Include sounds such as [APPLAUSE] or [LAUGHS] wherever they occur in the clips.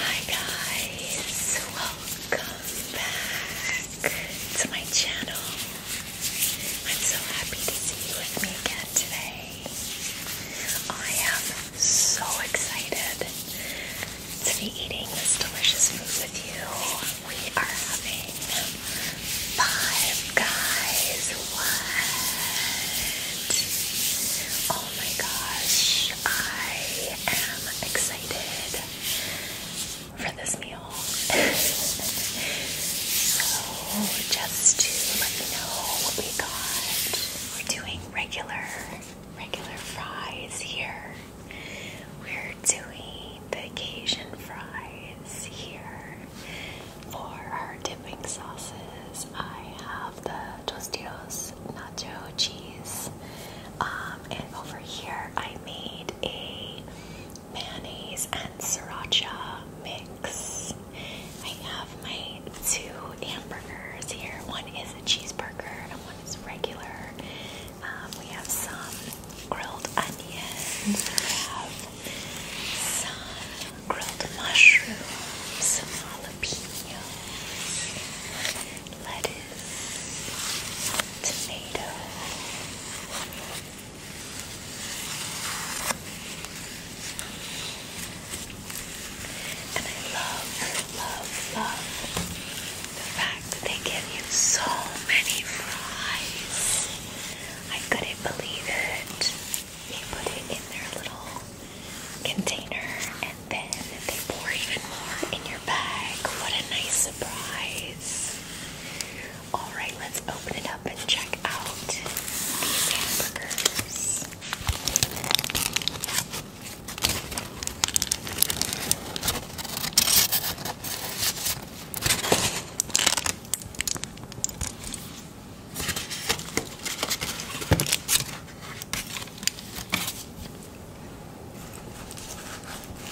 Hi guys, welcome back to my channel. I'm so happy to see you with me again today. I am so excited to be eating this delicious food with you we are having five guys. What? Oh my gosh, I am excited for this meal. [LAUGHS] so, just to let you know what we got, we're doing regular, regular fries here. We're doing the Cajun fries here for our dipping sauces. I have the Tostitos nacho cheese, um, and over here I made a mayonnaise and sriracha mix. I have my two hamburgers here. One is a cheeseburger and one is regular. Um, we have some grilled onions, we have some grilled mushrooms, some jalapenos, lettuce, tomato. And I love, love, love the fact they give you so many fries. I couldn't believe it. They put it in their little container and then they pour even more in your bag. What a nice surprise. Alright, let's open it up and check out these hamburgers.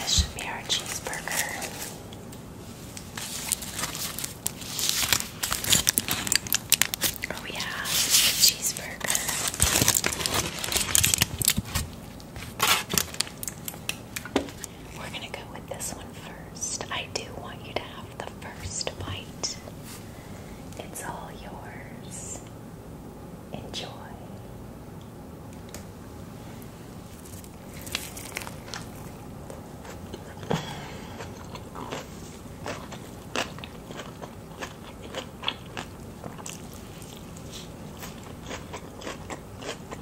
This should be our cheeseburger. Oh, yeah, cheeseburger. We're gonna go with this one first. I do want you to have the first bite. It's all yours. Enjoy.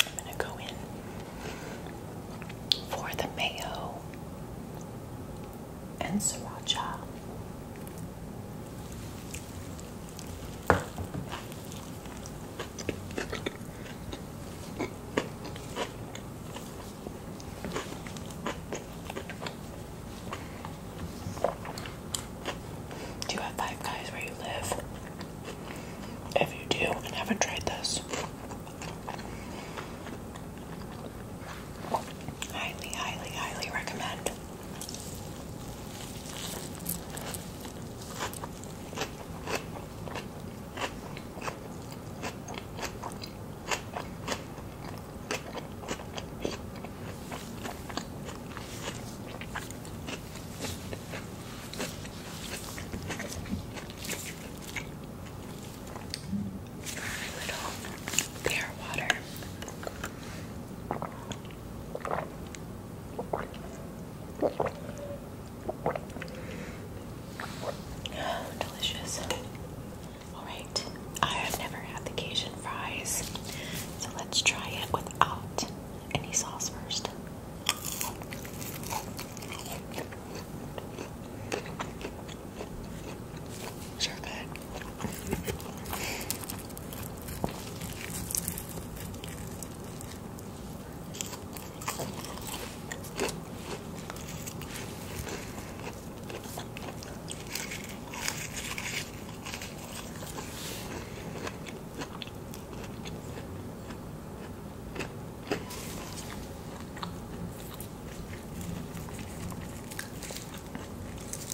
I'm going to go in for the mayo and sriracha. Do you have five guys where you live? If you do and haven't tried this, highly, highly, highly recommend little clear water. Delicious. Alright, I have never had the Cajun fries, so let's try it without any sauce first. Sure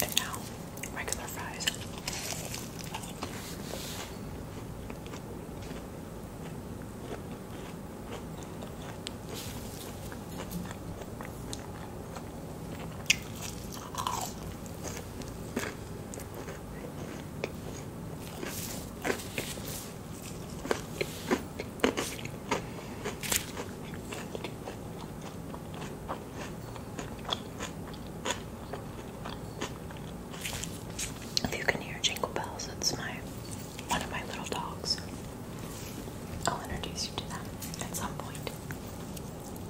and now, regular fries. If you can hear jingle bells, it's my one of my little dogs. I'll introduce you to them at some point.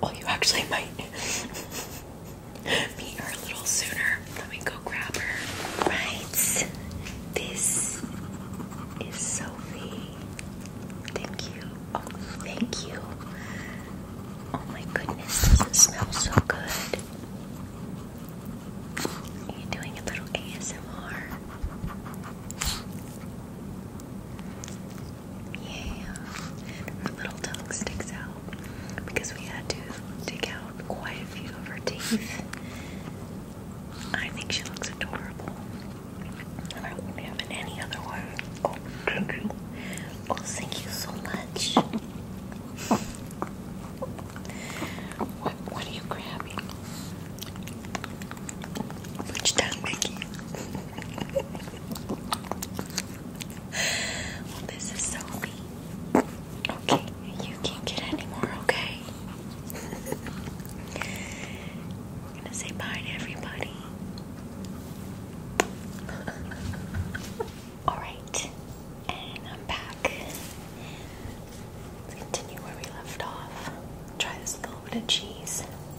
Well, you actually might [LAUGHS] meet her a little sooner. Let me go grab her. Right. This is Sophie. Thank you. Oh, thank you. Oh my goodness, does it smell so good? Are you doing a little ASMR? Yeah. Her little tongue sticks out because we had to dig out quite a few of her teeth. I think she looks adorable. And I wouldn't have any other way. Oh, thank you. Oh, thank you so much. [LAUGHS] What, what are you grabbing? Lunchtime Mickey. well, this is Sophie. Okay, you can't get any more, okay? I'm gonna say bye to everybody. [LAUGHS] Alright, and I'm back. Let's continue where we left off. Try this little bit of cheese.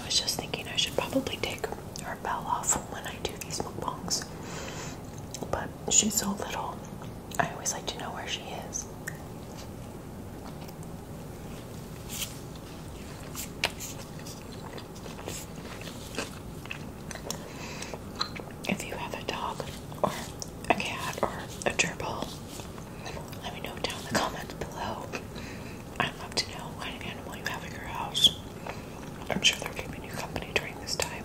I was just thinking I should probably take her bell off when I do these mukbangs, but she's so little I always like to know where she is. If you have a dog or a cat or a gerbil, let me know down in the comments below. I'd love to know what animal you have at your house. I'm sure they're keeping you company during this time.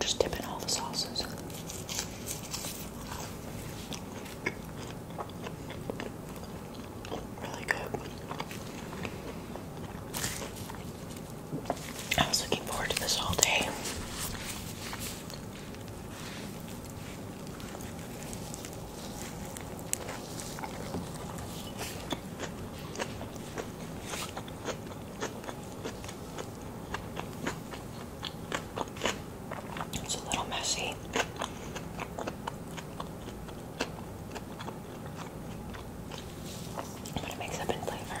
Just dip in all the sauces. Really good. I was looking forward to this all day. It's a little messy. But it makes up in flavor.